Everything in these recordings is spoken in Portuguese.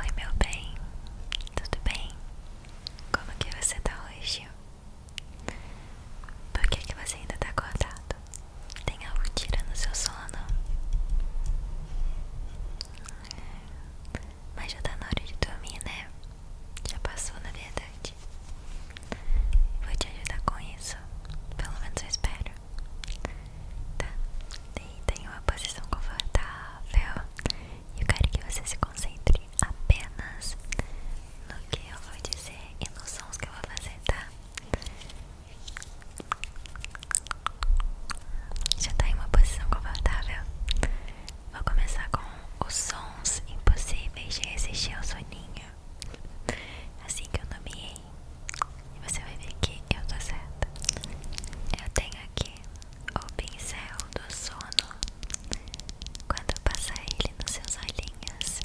Oi meu bem, tudo bem? Como que você tá hoje? Por que que você ainda tá acordado? Tem algo tirando seu sono? Mas já tá na hora de dormir, né? Já passou na verdade Vou te ajudar com isso, pelo menos eu espero tá? e tem uma posição confortável. e Eu quero que você se concentre apenas no que eu vou dizer e nos sons que eu vou fazer, tá? Já tá em uma posição confortável? Vou começar com os sons impossíveis de resistir ao soninho. Assim que eu nomeei, e você vai ver que eu tô certa. Eu tenho aqui o pincel do sono. Quando passar ele nos seus olhinhos,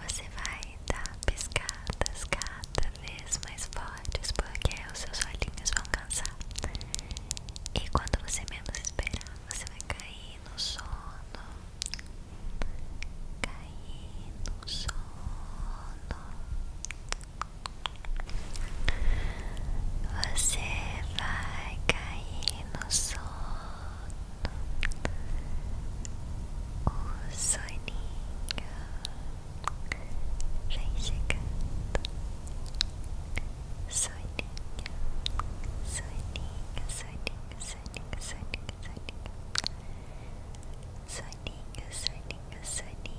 você vai dar pescadas cada vez mais fortes, porque os seus olhinhos vão cansar. E quando você menos esperar, você vai cair no sono. Cair no sono. Você vai cair no sono, o soninho vem chegando, soninho, soninho, soninho, soninho, soninho, soninho. Soninho, soninho, soninho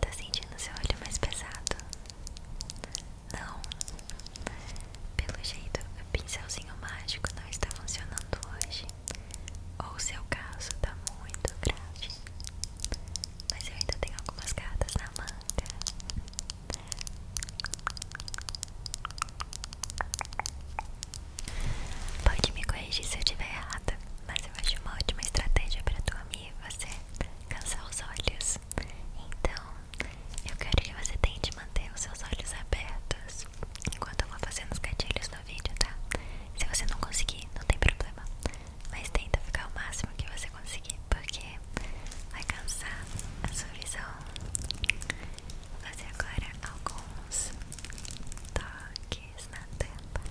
Tá sentindo seu olho mais pesado? Não. Pelo jeito, o pincelzinho mágico não está funcionando hoje. Ou se é o caso tá muito grave. Mas eu ainda tenho algumas cartas na manga. Pode me corrigir se eu estiver errada, mas eu acho uma ótima estratégia para dormir você cansar os olhos. Então, eu quero que você tente manter os seus olhos abertos enquanto eu vou fazendo os gatilhos no vídeo, tá? Se você não conseguir, não tem problema, mas tenta ficar o máximo que você conseguir, porque vai cansar a sua visão fazer agora alguns toques na tampa.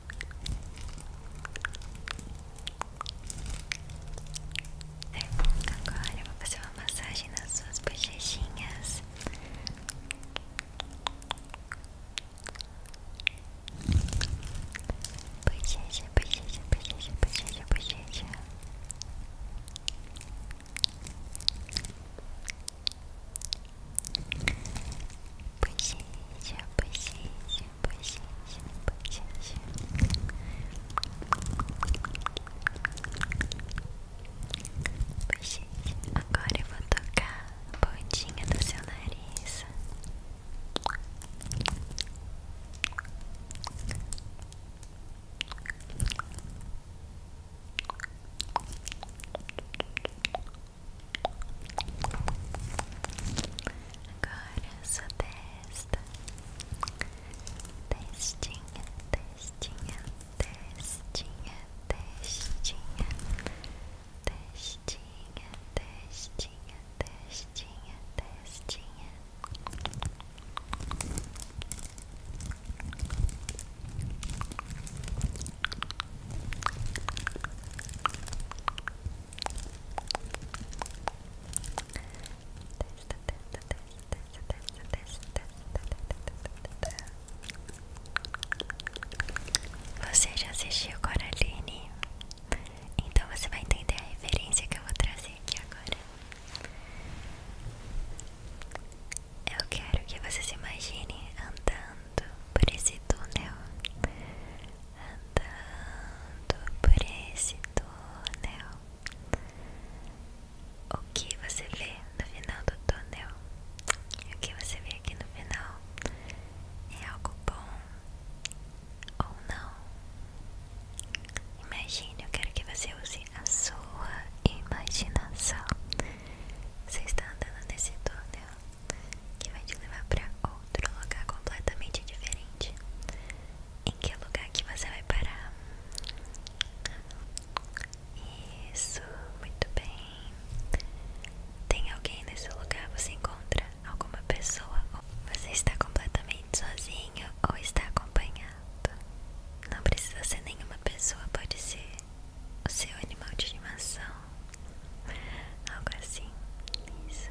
Agora eu vou fazer uma massagem nas suas bochechinhas. Bochecha, bochecha, bochecha, bochecha, bochecha. Puxinha, puxinha, puxinha, puxinha. Bochecha, agora eu vou tocar a pontinha do seu nariz Agora sua testa, testinha, testinha, testinha, testinha, testinha, testinha, testinha, testinha. Testinha, testinha, Você já assistiu Coraline? Então você vai entender a referência que eu vou trazer aqui agora. Eu quero que você se imagine andando andando por esse túnel, andando por esse túnel. O que você vê no final do túnel? O que você vê aqui no final é algo bom ou não? Imagine, eu quero que você use a sua imaginação. Você está andando nesse túnel que vai te levar para outro lugar completamente diferente. Em que lugar que você vai parar? Isso, muito bem. Tem alguém nesse lugar? Você encontra alguma pessoa? Você está completamente sozinho ou está acompanhado? Não precisa ser nenhuma pessoa, pode ser o seu animal de animação, algo assim. Isso.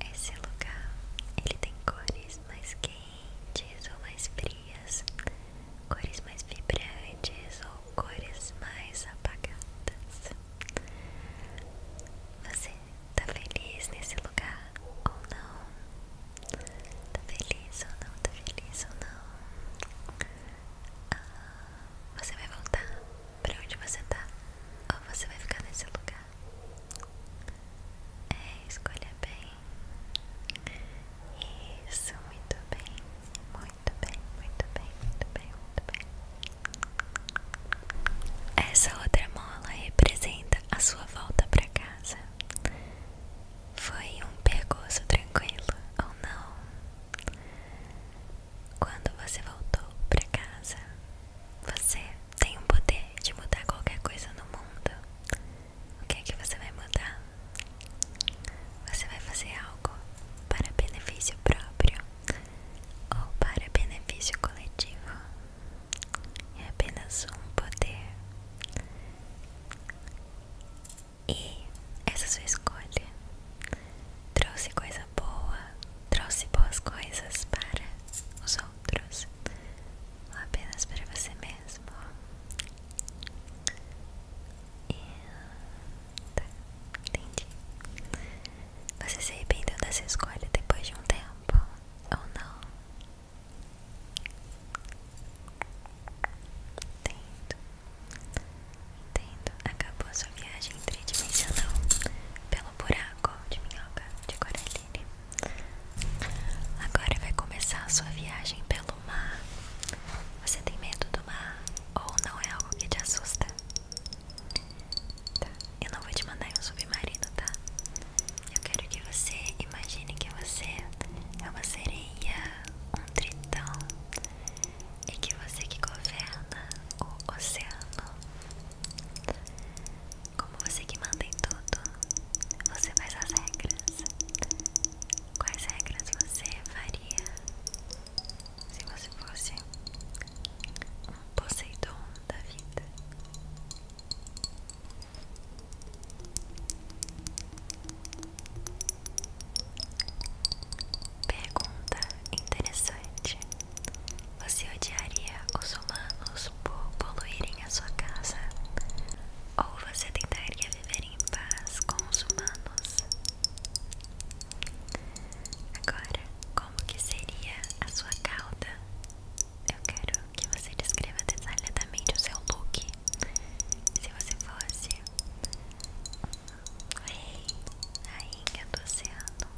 Esse lugar ele tem cores mais quentes ou mais frias, cores mais vibrantes ou cores mais apagadas. Você tá feliz nesse lugar ou não? Tá feliz ou não? Tá feliz ou não? Ah, você vai voltar pra onde você tá ou você vai ficar nesse lugar? É, escolha bem. Isso, muito bem, muito bem, muito bem, muito bem, muito bem. Essa outra mola representa a sua volta pra casa. Foi um percurso tranquilo ou não? Quando você voltou para casa, você tem o poder de mudar qualquer coisa no mundo. O que é que você vai mudar? Você vai fazer algo para benefício próprio ou para benefício coletivo? É apenas um poder. E essa sua escolha trouxe coisa boa, trouxe boas coisas para os outros, ou apenas para você mesmo. E, tá, entendi. Você se arrependeu dessa escolha depois de um tempo ou não? Entendo. Entendo. Acabou sua viagem tridimensional pelo buraco de minhoca de Coraline. Agora vai começar a sua viagem pelo mar. Você tem medo do mar ou não é algo que te assusta? Tá, eu não vou te mandar em um submarino, tá? Eu quero que você imagine que você é uma sereia, um tritão e é que você que governa o oceano, como você que manda em tudo, você faz as regras. Quais regras você faria se você fosse um Poseidon da vida? Pergunta interessante: Você odiaria os humanos por poluírem a sua casa? Ou você tentaria viver em paz com os humanos? Agora, como que seria a sua cauda? Eu quero que você descreva detalhadamente o seu look. Se você fosse rei, rainha do oceano.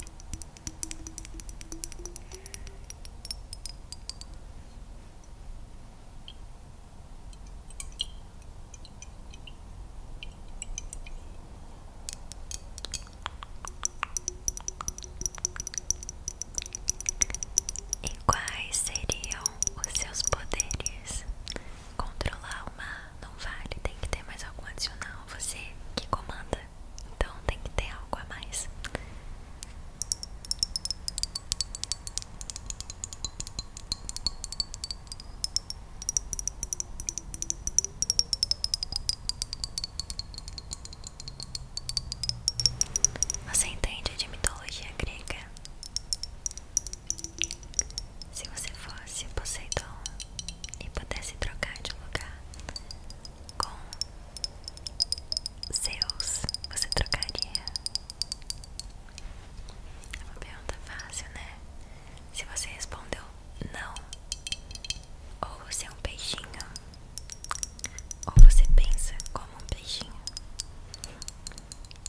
E quais seriam os seus poderes? controlar uma não vale, tem que ter mais algo adicional, você que comanda, então tem que ter algo a mais. Você entende de mitologia grega? Se você fosse Poseidon e pudesse trocar de lugar com Zeus, você trocaria? É uma pergunta fácil, né? Se você respondeu não, ou você é um peixinho, ou você pensa como um peixinho,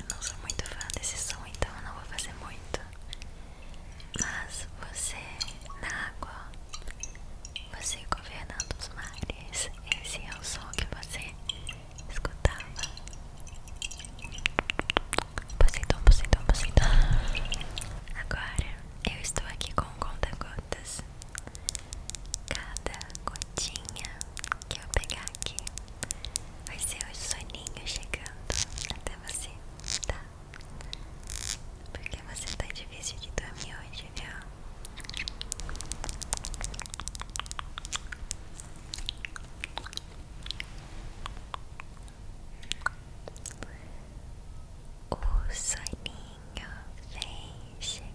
Eu não sou muito fã desse som, então eu não vou fazer muito. Mas você na água, você governando os mares, esse é o som que você escutava. Poseidon, Poseidon, Poseidon. Agora eu estou aqui com um a gotas Cada gotinha que eu pegar aqui vai ser o soninho chegando até você, tá? Porque você tá difícil de dormir hoje, viu? O soninho vem chegando.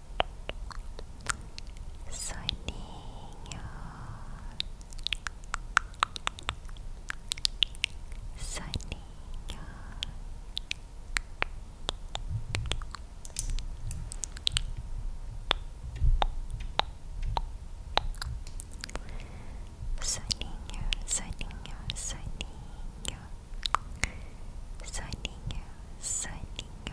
Soninho, soninho. Soninho, soninho, soninho. Soninho, soninho.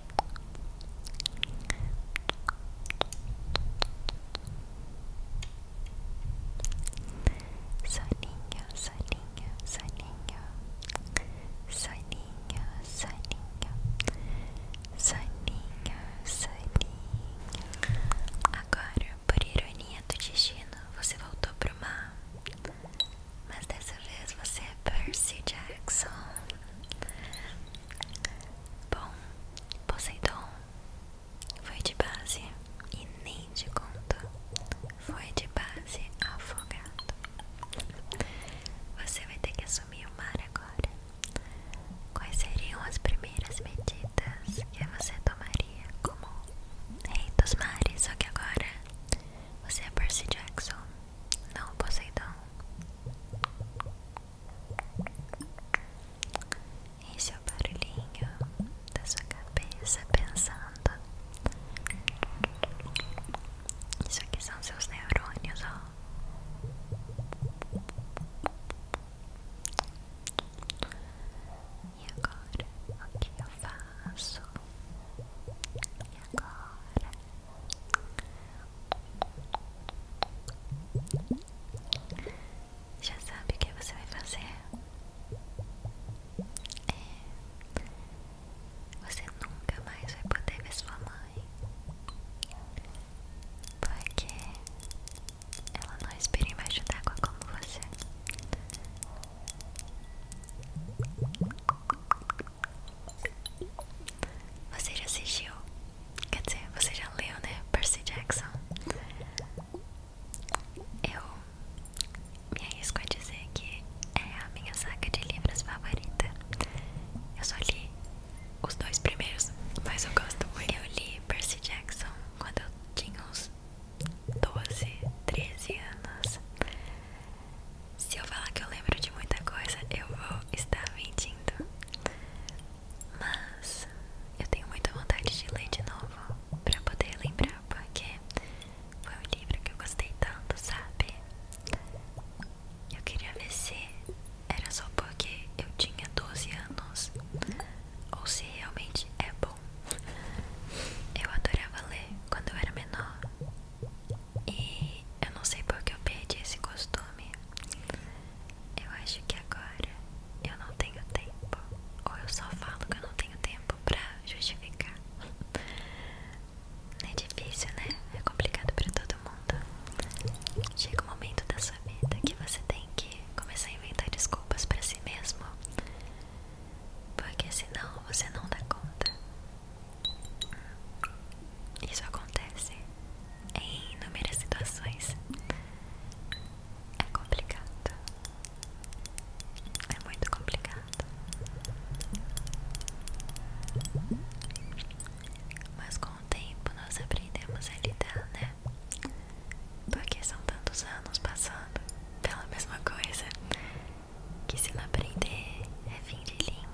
Soninho, soninho, soninho, soninho, soninho, soninho, soninho. Agora, por ironia do destino, você voltou pro mar, mas dessa vez você é Percy Jackson. Bom, Poseidon foi de base e nem de conto. Foi de base afogado. Você vai ter que assumir o mar agora. Quais seriam as primeiras medidas que você tomaria como rei dos mares? Só que agora você é Percy Jackson. Não, Poseidon. Esse é o barulhinho da sua cabeça pensando. Isso aqui são seus neurônios, ó. E agora o que eu faço? E agora já sabe o que você vai fazer? É. Você nunca mais vai poder ver sua mãe. Porque ela não espera respira embaixo d'água como você. Você já assistiu? Quer dizer, você já leu, né? Percy Jackson. Eu me arrisco a dizer que é a minha saca de livros favorita. Eu só li os dois primeiros, mas eu gosto muito. Eu li Percy Jackson quando eu tinha uns 12, 13 anos. Se eu falar que eu lembro de muita coisa, eu vou estar mentindo. Mas eu tenho muita vontade de ler de novo pra poder lembrar, porque foi um livro que eu gostei tanto, sabe? Eu queria ver se era só porque eu tinha 12 anos ou se realmente é bom. Eu adorava ler quando eu era menor e eu não sei porque eu perdi esse costume. Eu acho que agora eu não tenho tempo. Ou eu só falo que eu não tenho tempo pra justificar. É difícil, né? É complicado pra todo mundo. Chega um momento da sua vida que você tem que começar a inventar desculpas pra si mesmo. Porque senão você não dá conta. Isso acontece em inúmeras situações. É complicado. É muito complicado. Mas com o tempo nós aprendemos a lidar, né? Porque são tantos anos passando pela mesma coisa que se não aprender é fim de linha.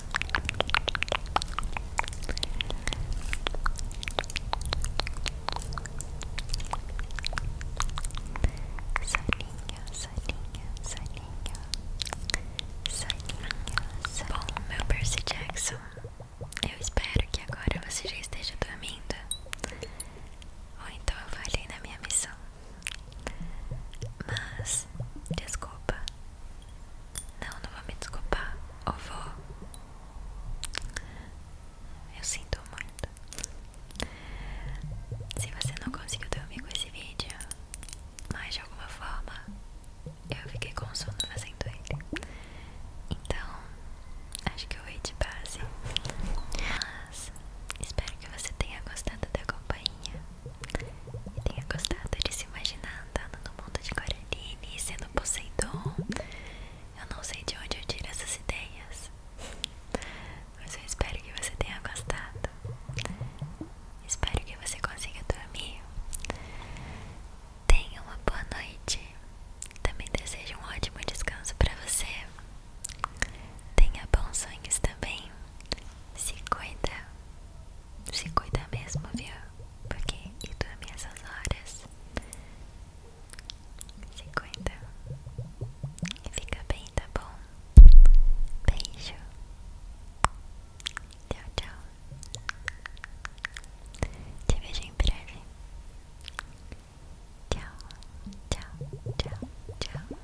salinha, salinha, salinha, salinha, soninho. Bom, meu Percy Jackson, eu espero que agora você já esteja dormindo. Ou então eu falhei na minha missão. Mas, desculpa, não, não vou me desculpar. Ou vou. Eu sinto muito. Se você não conseguiu dormir com esse vídeo, mas de alguma forma eu fiquei com sono fazendo ele. Então, acho que eu vou de base. Mas espero que você tenha gostado da companhia e tenha gostado de se imaginar andando no mundo de Guarani, sendo Poseidon. Eu não sei de onde eu tiro essas ideias, mas eu espero que você tenha gostado. Espero que você consiga dormir. Tenha uma boa noite. Também desejo um ótimo descanso para você. Tenha bons sonhos também. Se cuida. Se cuida mesmo, viu? Porque eu dormi essas horas 50 Fica bem, tá bom? Beijo Tchau, tchau Te vejo em breve Tchau, tchau, tchau, tchau